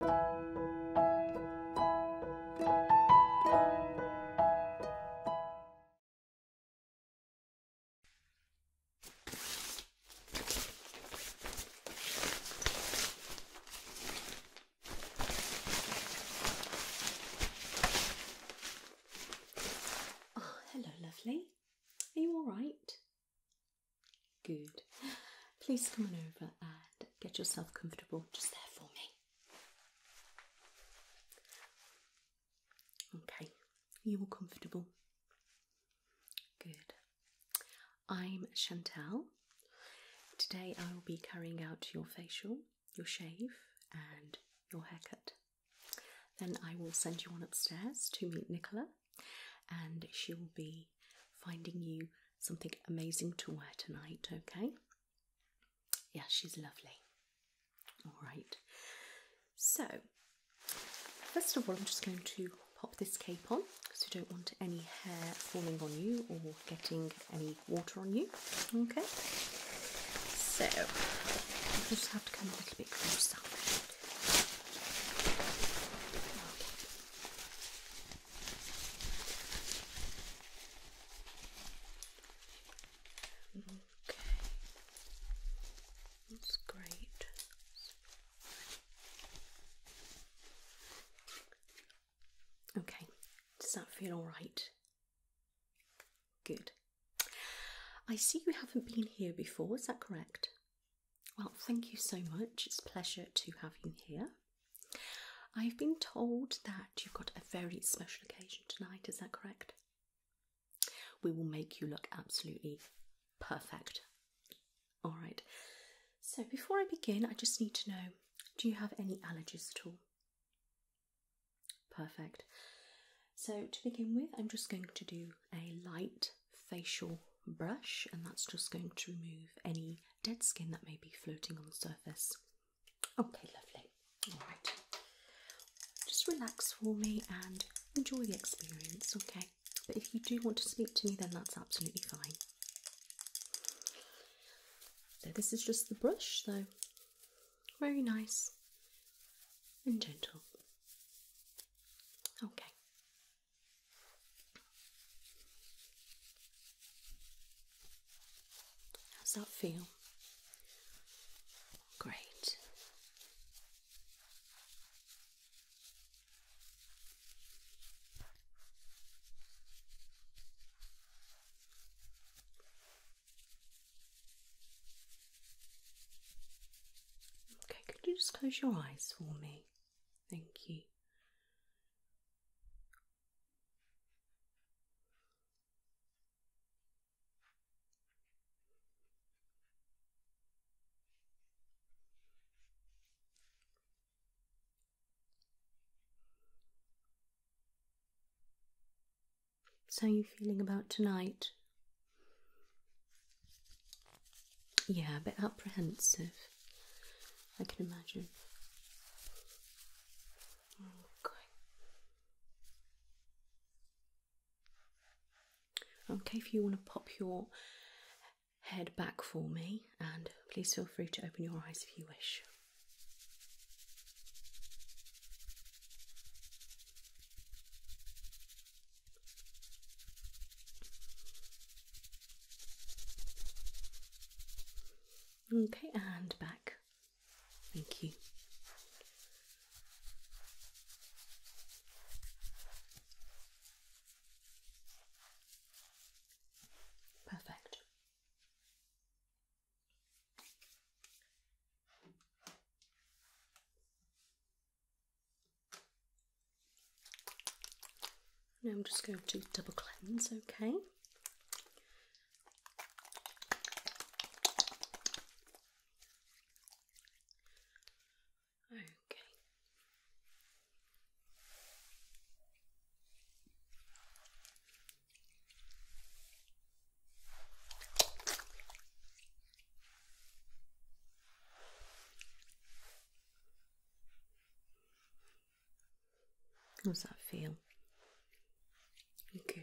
Oh, hello, lovely. Are you all right? Good. Please come on over and get yourself comfortable just there for me. Okay, are you all comfortable? Good. I'm Chantal. Today I will be carrying out your facial, your shave, and your haircut. Then I will send you on upstairs to meet Nicola, and she will be finding you something amazing to wear tonight, okay? Yeah, she's lovely. All right. So, first of all, I'm just going to pop this cape on because we don't want any hair falling on you or getting any water on you, okay? So, I just have to come a little bit closer. Okay, that's great. Okay, does that feel alright? Good. I see you haven't been here before, is that correct? Well, thank you so much. It's a pleasure to have you here. I've been told that you've got a very special occasion tonight, is that correct? We will make you look absolutely perfect. All right. So before I begin, I just need to know do you have any allergies at all? Perfect. So to begin with, I'm just going to do a light facial brush, and that's just going to remove any dead skin that may be floating on the surface. Okay, lovely. All right. Just relax for me and enjoy the experience, okay? But if you do want to speak to me, then that's absolutely fine. So, this is just the brush, though. Very nice and gentle. Okay, How's that feel? Great. Okay, could you just close your eyes for me? Thank you. So, how are you feeling about tonight? Yeah, a bit apprehensive. I can imagine. Okay. Okay, if you want to pop your head back for me, and please feel free to open your eyes if you wish. Okay, and back. Thank you. Perfect. Now I'm just going to double cleanse, okay? Okay. How's that feel? Good.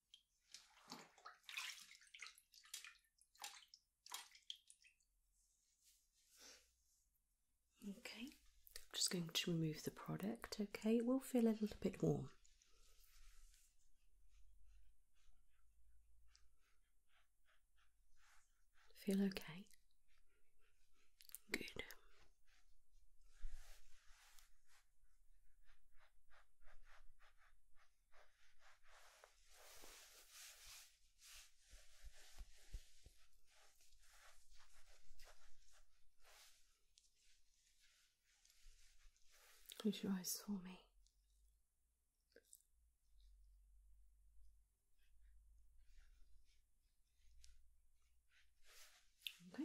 Okay, I'm just going to remove the product, okay? It will feel a little bit warm. Feel okay? Good. Close your eyes for me. Okay.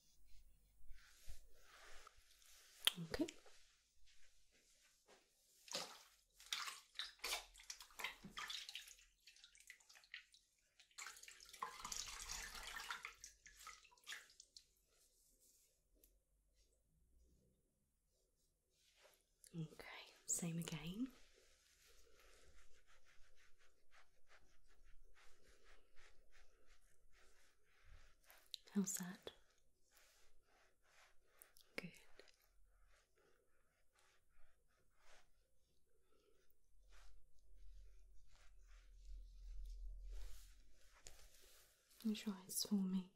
Okay. Okay, same again. How's that? Good. Close your eyes for me.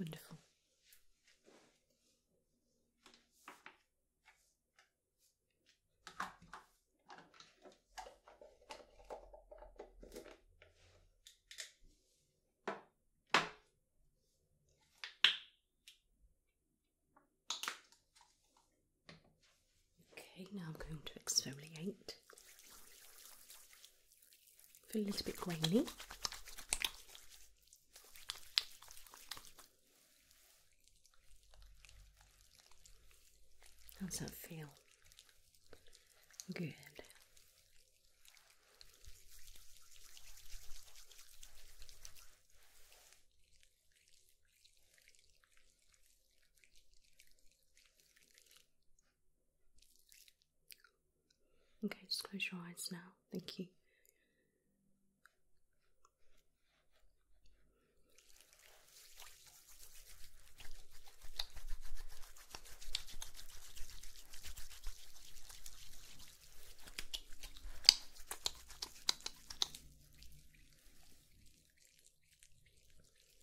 Wonderful. Okay, now I'm going to exfoliate Feel a little bit grainy. Does that feel? Good. Okay, just close your eyes now. Thank you.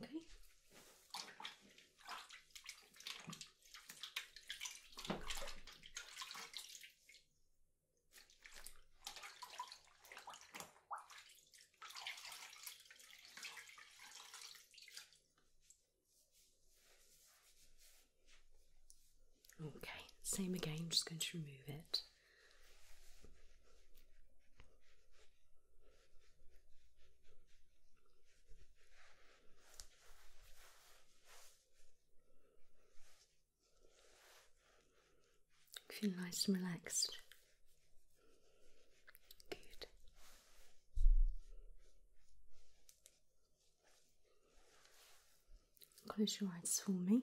Okay. Okay, same again, just going to remove it. Feel nice and relaxed. Good. Close your eyes for me.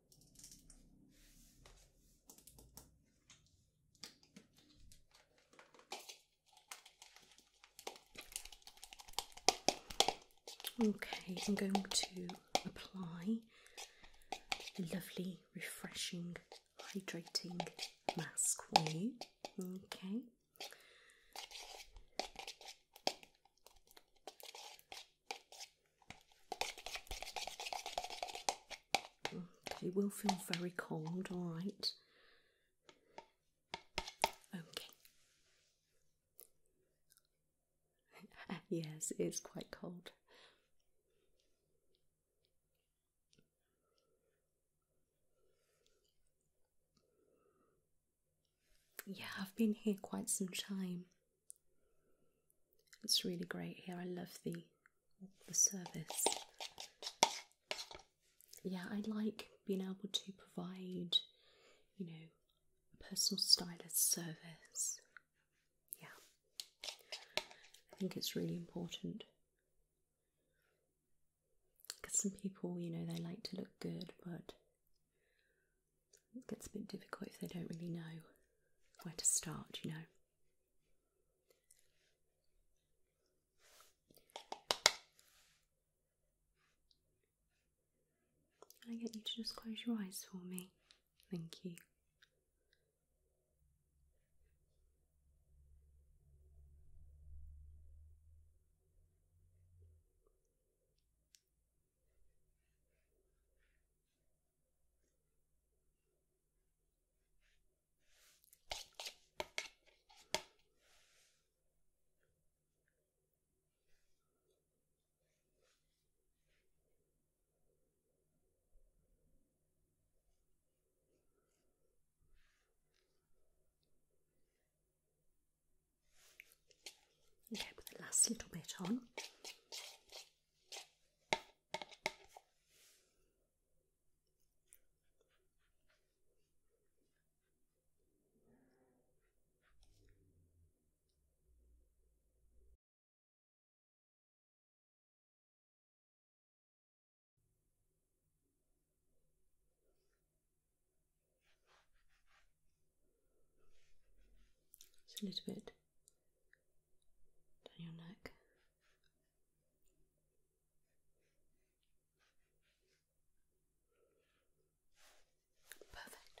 Okay, I'm going to apply a lovely, refreshing, hydrating mask for you. Okay. You will feel very cold, all right. Okay. yes, it's quite cold. Yeah, I've been here quite some time. It's really great here. I love the the service. Yeah, I like being able to provide, you know, personal stylist service. Yeah. I think it's really important. Because some people, you know, they like to look good, but it gets a bit difficult if they don't really know where to start, you know. Can I get you to just close your eyes for me? Thank you. Okay, put the last little bit on. It's a little bit down your neck. Perfect.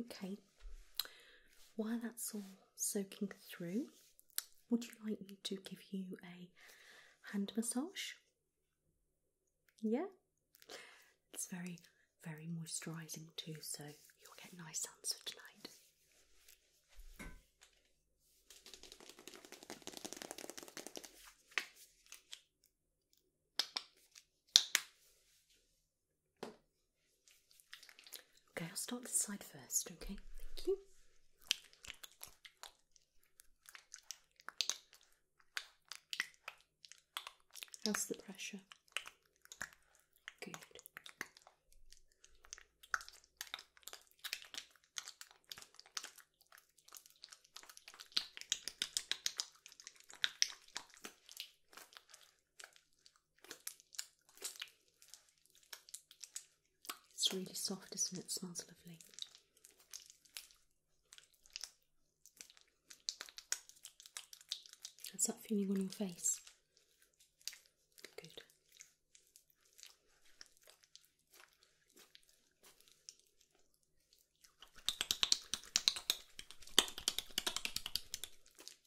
Okay, while that's all soaking through, would you like me to give you a hand massage? Yeah, it's very, very moisturising too, so you'll get nice answer tonight. Okay, I'll start this side first, okay? Thank you. How's the pressure? Good. It's really soft, isn't it? smells lovely. That's that feeling on your face? Good.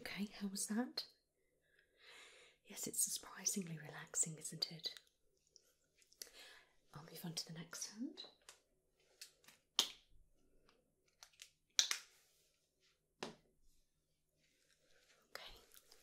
Okay, how was that? Yes, it's surprisingly relaxing, isn't it? I'll move on to the next hand. Okay,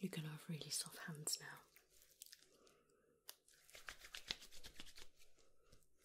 You're going to have really soft hands now.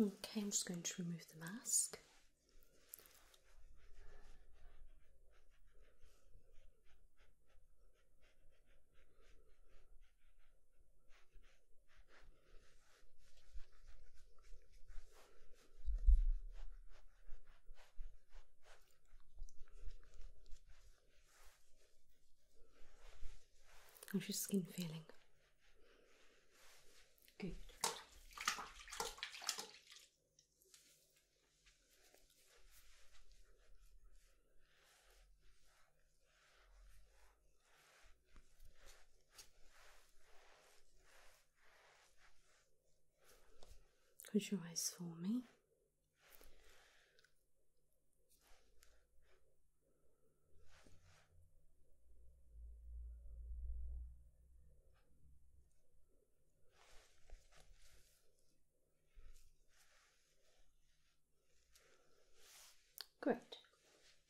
Okay, I'm just going to remove the mask. How's your skin feeling? Good. Could you eyes for me. Great.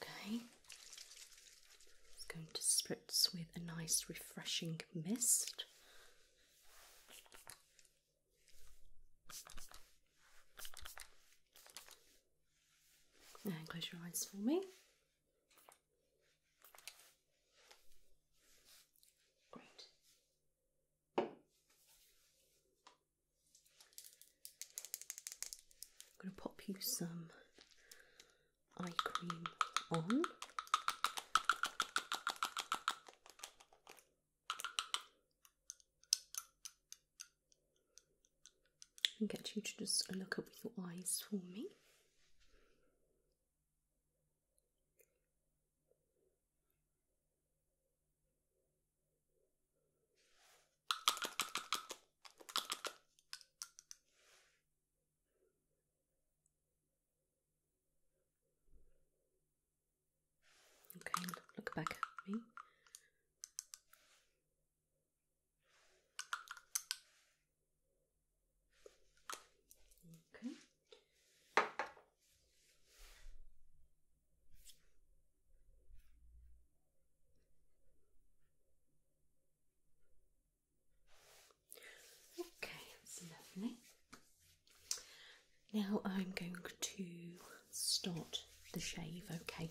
Okay. It's going to spritz with a nice refreshing mist and close your eyes for me. Great. I'm going to pop you some eye cream on. And get you to just look up with your eyes for me. Okay, look back at me. Okay. Okay, that's lovely. Now I'm going to start the shave, okay?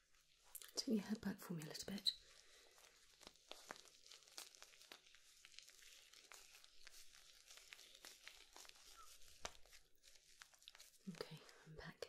Take your head back for me a little bit. Okay, I'm back.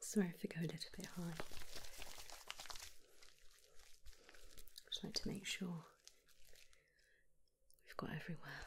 Sorry if I go a little bit high. Just like to make sure we've got everywhere.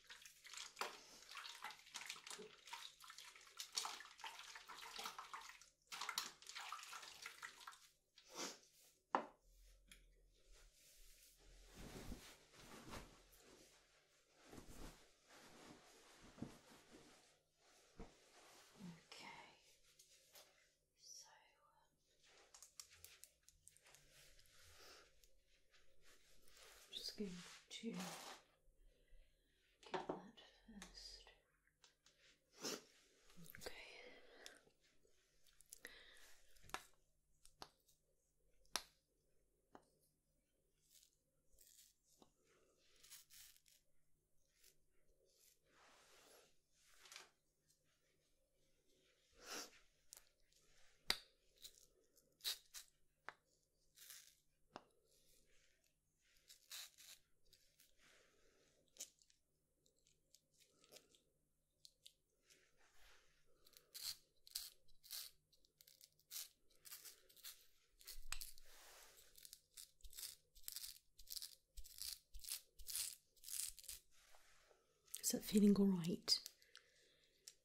Okay, so I'm um, just going to Get that first. Okay. Is that feeling all right?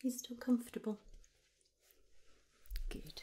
He's still comfortable. Good.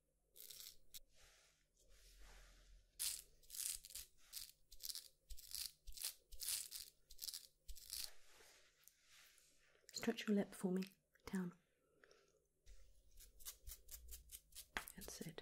Stretch your lip for me down. That's it.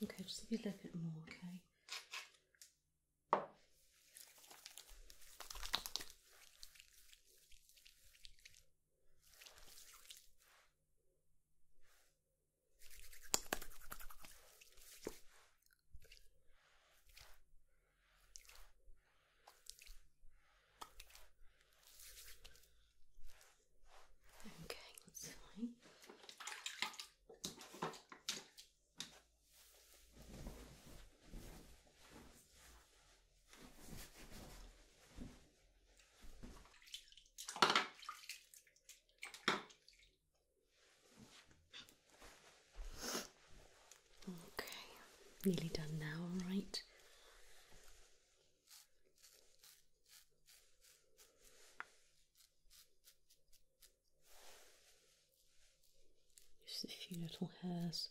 Okay, just a little bit more, okay? Okay, that's fine. Okay, nearly done now, all right. Just a few little hairs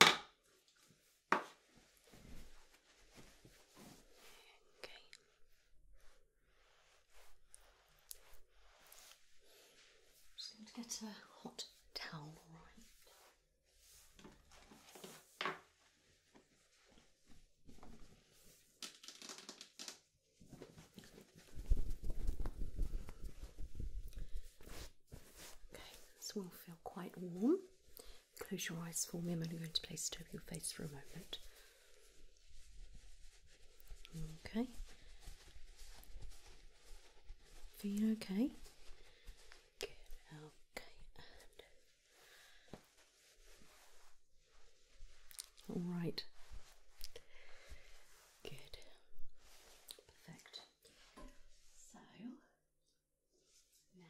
Okay. Just going to get a hot towel, right? Okay, this will feel quite warm. Close your eyes for me. I'm only going to place it over your face for a moment. Okay. Feeling okay? Okay. all right. Good. Perfect. So now,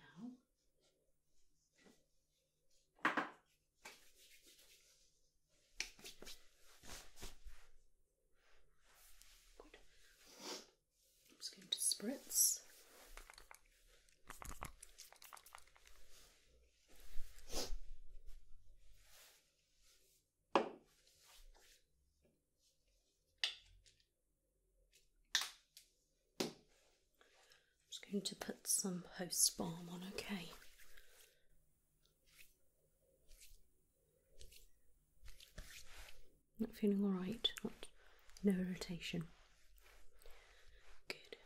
I'm just going to spritz. I'm just going to put some host balm on, okay? Not feeling alright, no irritation. Good.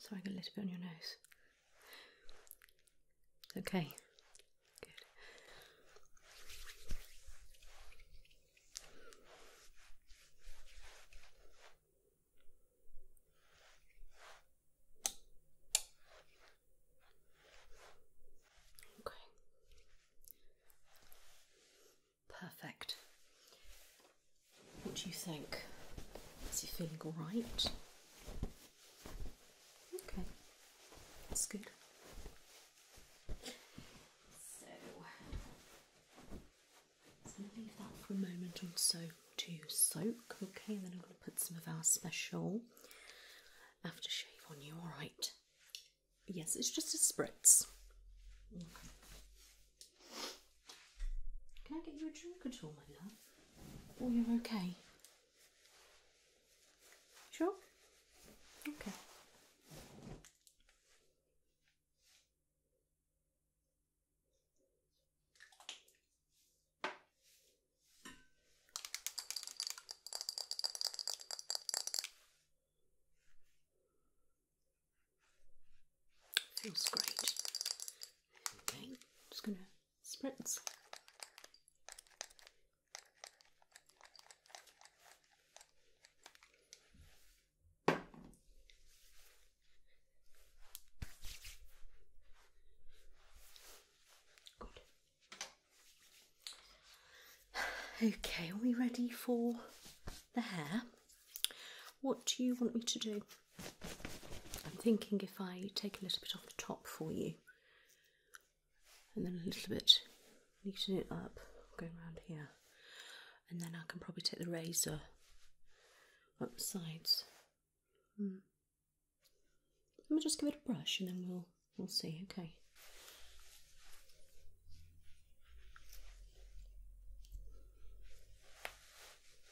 Sorry, I got a little bit on your nose. Okay. Good. Okay. Perfect. What do you think? Is he feeling all right? Okay, that's good. So, I'm going to leave that for a moment or so to soak, okay? And then I'm going to put some of our special aftershave on you, alright? Yes, it's just a spritz. Can I get you a drink at all, my love? Oh, you're okay. Sure? Okay. Feels great. Okay, just gonna spritz. Good. Okay, are we ready for the hair? What do you want me to do? I'm thinking if I take a little bit off the top for you and then a little bit, neaten it up, going around here, and then I can probably take the razor up the sides. Hmm. Let me just give it a brush and then we'll we'll see. Okay.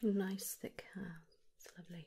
Nice thick hair, it's lovely.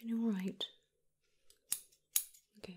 Feeling all right. Good.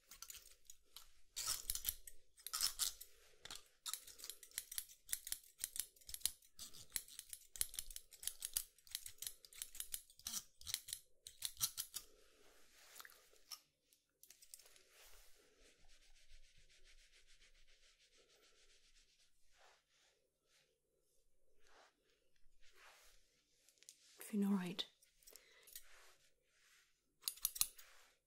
Feeling all right.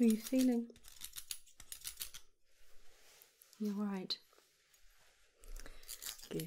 are you feeling? You're right. Good.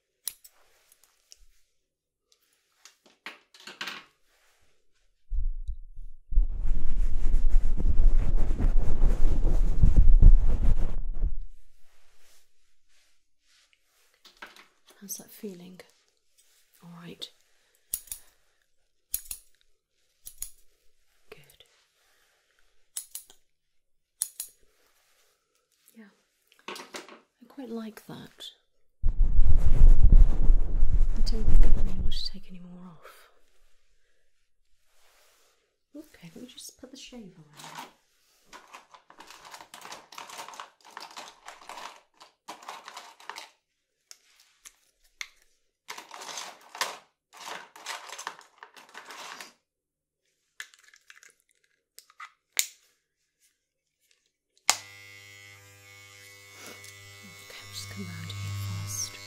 How's that feeling? All right. Good. Yeah, I quite like that. I don't think I'm able to take any more off. Okay, let me just put the shave on. Okay, I'll just come round here first. Okay,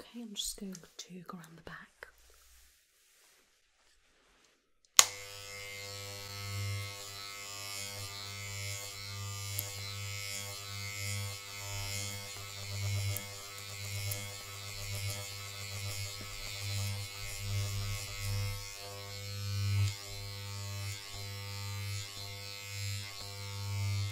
Okay, I'm just going to go around the back.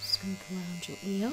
Just going to around your ear.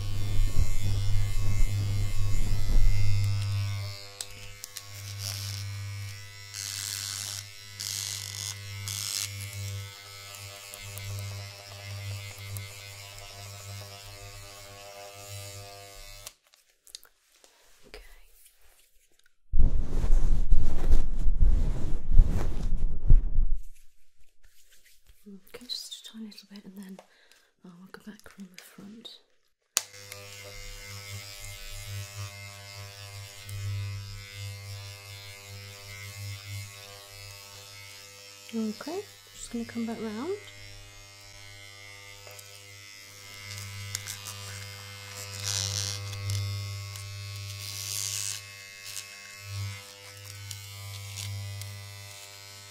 Okay. Okay, just a tiny little bit, and then Oh, I'll go back from the front. Okay, just going to come back round.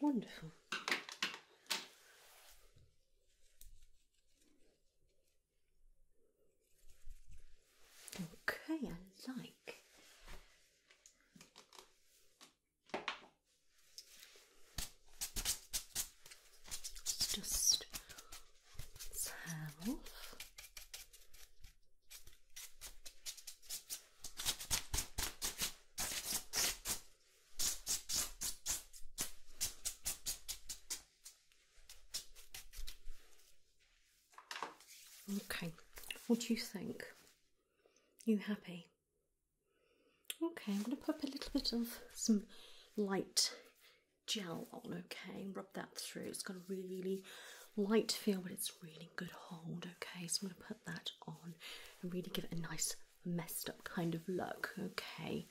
Wonderful. Okay, I like just let's Okay, what do you think? You happy? Okay, I'm going to pop a little bit of some light gel on, okay, and rub that through. It's got a really light feel, but it's really good hold, okay. So I'm going to put that on and really give it a nice messed up kind of look, okay.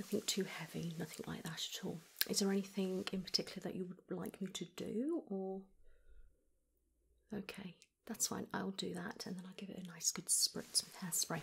Nothing too heavy, nothing like that at all. Is there anything in particular that you would like me to do, or okay, that's fine. I'll do that, and then I'll give it a nice good spritz of hairspray.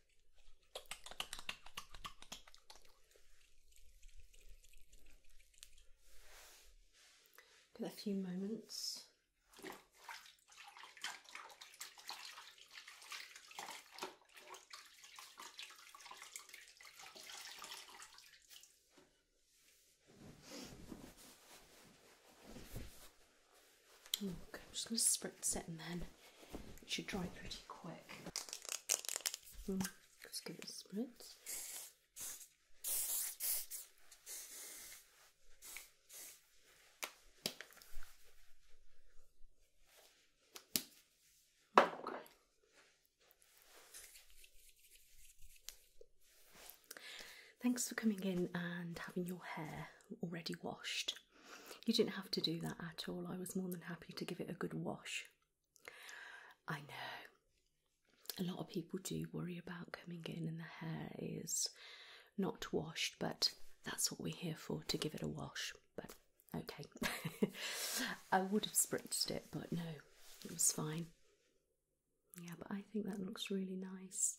Give a few moments. I'm just going to spritz it and then it should dry pretty quick. just hmm, give it a spritz. Thanks for coming in and having your hair already washed. You didn't have to do that at all. I was more than happy to give it a good wash. I know a lot of people do worry about coming in and the hair is not washed, but that's what we're here for to give it a wash. But okay, I would have spritzed it, but no, it was fine. Yeah, but I think that looks really nice.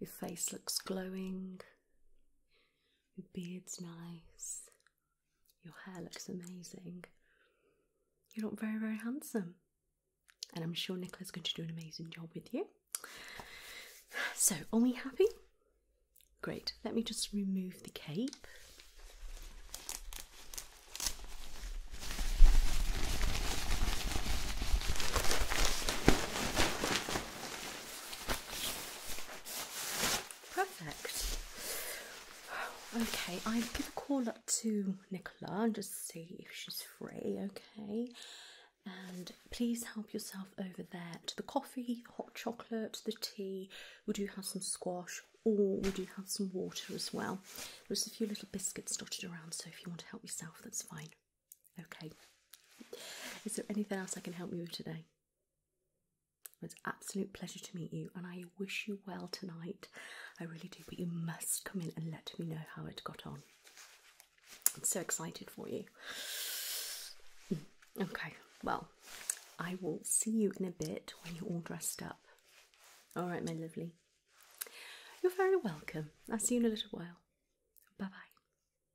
Your face looks glowing. Your beard's nice. Your hair looks amazing. You look very, very handsome. And I'm sure Nicola's going to do an amazing job with you. So, are we happy? Great. Let me just remove the cape. Perfect. Okay, I'll give a call up to Nicola and just see if she's free, okay? And please help yourself over there to the coffee, hot chocolate, the tea. We do have some squash, or we do have some water as well. There's a few little biscuits dotted around, so if you want to help yourself, that's fine. Okay. Is there anything else I can help you with today? It's absolute pleasure to meet you, and I wish you well tonight. I really do, but you must come in and let me know how it got on. I'm so excited for you. Mm, okay, well, I will see you in a bit when you're all dressed up. All right, my lovely. You're very welcome. I'll see you in a little while. Bye bye.